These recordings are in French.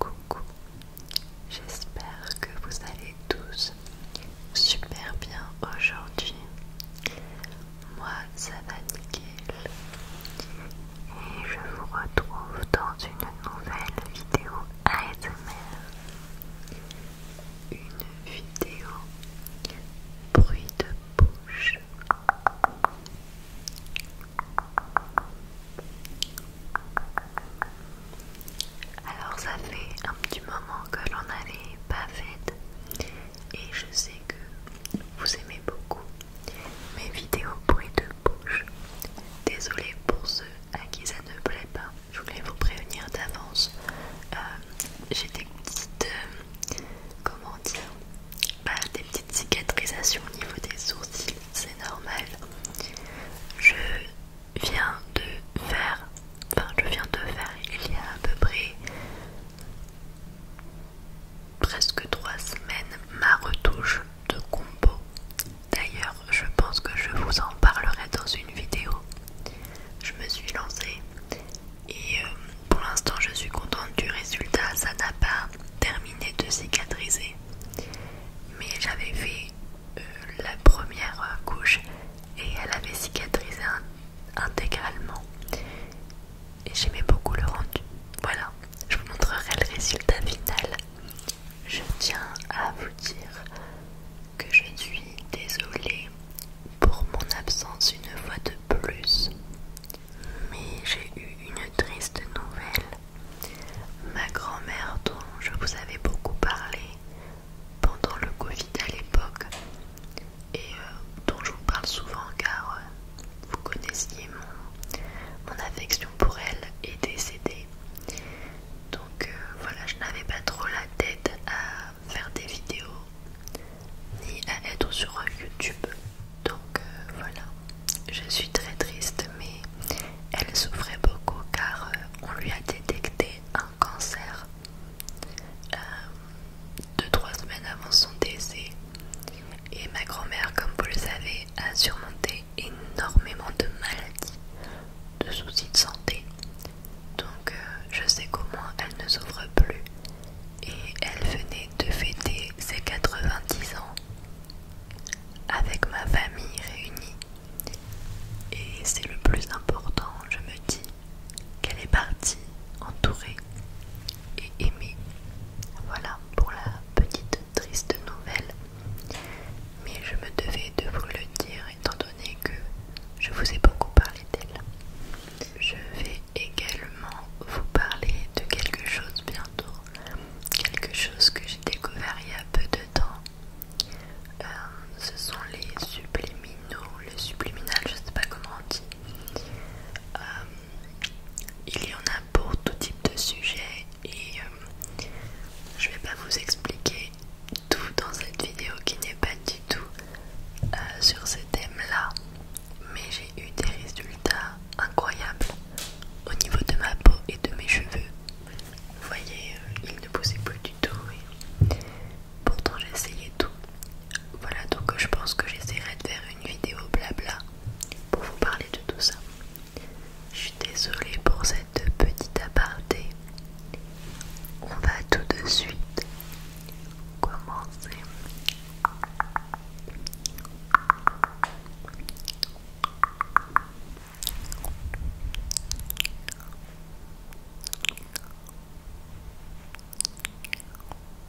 Coucou, j'espère que vous allez tous super bien aujourd'hui. Moi, ça va nickel et je vous retrouve dans une nouvelle vidéo ASMR. Une vidéo bruit de bouche. Alors ça fait un petit moment que l'on n'avait pas fait et je sais que vous aimez beaucoup mes vidéos bruit de bouche. Désolée pour ceux à qui ça ne plaît pas. Je voulais vous prévenir d'avance. Euh, j'ai des petites... Euh, comment dire bah, Des petites cicatrisations au niveau des sourcils. C'est normal. Je viens de faire... Enfin, je viens de faire il y a à peu près presque trois semaines ma retouche de combo. D'ailleurs, je pense que je vous en parlerai dans une vidéo. Je me suis lancée et euh, pour l'instant, je suis contente du résultat. Ça n'a pas terminé de cicatriser, mais j'avais fait euh, la première couche et elle avait cicatrisé intégralement. Et j'aimais beaucoup le rendu. Voilà, je vous montrerai le résultat final je tiens à vous dire que je suis désolée pour mon absence une fois de plus. Mais j'ai eu une triste nouvelle. Ma grand-mère dont je vous avais beaucoup parlé pendant le Covid à l'époque et euh, dont je vous parle souvent car euh, vous connaissiez mon, affection pour elle est décédée. Donc euh, voilà, je n'avais pas trop la tête à faire des vidéos ni à être sur YouTube. Donc euh, voilà, je suis très triste, mais elle souffrait beaucoup car euh, on lui a détecté un cancer 2-3 semaines avant son décès. Et ma grand-mère, comme vous le savez, a surmonté énormément de maladies, de soucis de santé. Donc euh, je sais qu'au moins elle ne souffre plus. Et elle venait de fêter ses 90 ans avec ma famille réunie. Et c'est le plus important, je me dis, qu'elle est partie entourée et aimée. Voilà pour la petite triste nouvelle, mais je me devais de vous le dire étant donné que je vous ai beaucoup parlé d'elle. Je vais également vous parler de quelque chose bientôt, quelque chose que j'ai découvert il y a peu de temps. Euh, ce sont les subliminaux, le subliminal, je sais pas comment on dit. Euh, il y en a pour tout type de sujet et euh, je vais pas vous expliquer tout dans cette vidéo qui n'est pas du tout euh, sur ce thème là mais j'ai eu des résultats incroyables au niveau de ma peau et de mes cheveux vous voyez euh, il ils ne poussaient plus du tout et pourtant j'essayais tout voilà donc je pense que j'essaierai de faire une vidéo blabla pour vous parler de tout ça. Je suis désolée pour cette petite aparté. On va tout de suite commencer.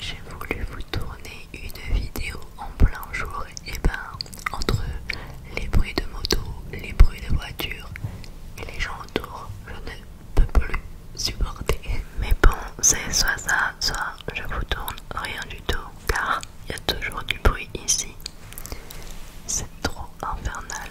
J'ai voulu vous tourner une vidéo en plein jour et eh ben entre les bruits de moto, les bruits de voiture et les gens autour, je ne peux plus supporter. Mais bon, c'est soit ça, soit je vous tourne rien du tout car il y a toujours du bruit ici. C'est trop infernal.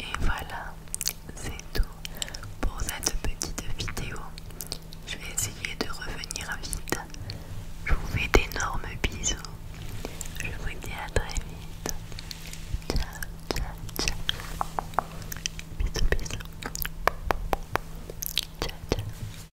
Et voilà, c'est tout pour cette petite vidéo. Je vais essayer de revenir vite. Je vous fais d'énormes bisous. Je vous dis à très vite. Ciao, ciao, ciao. Bisous, bisous. Ciao, ciao.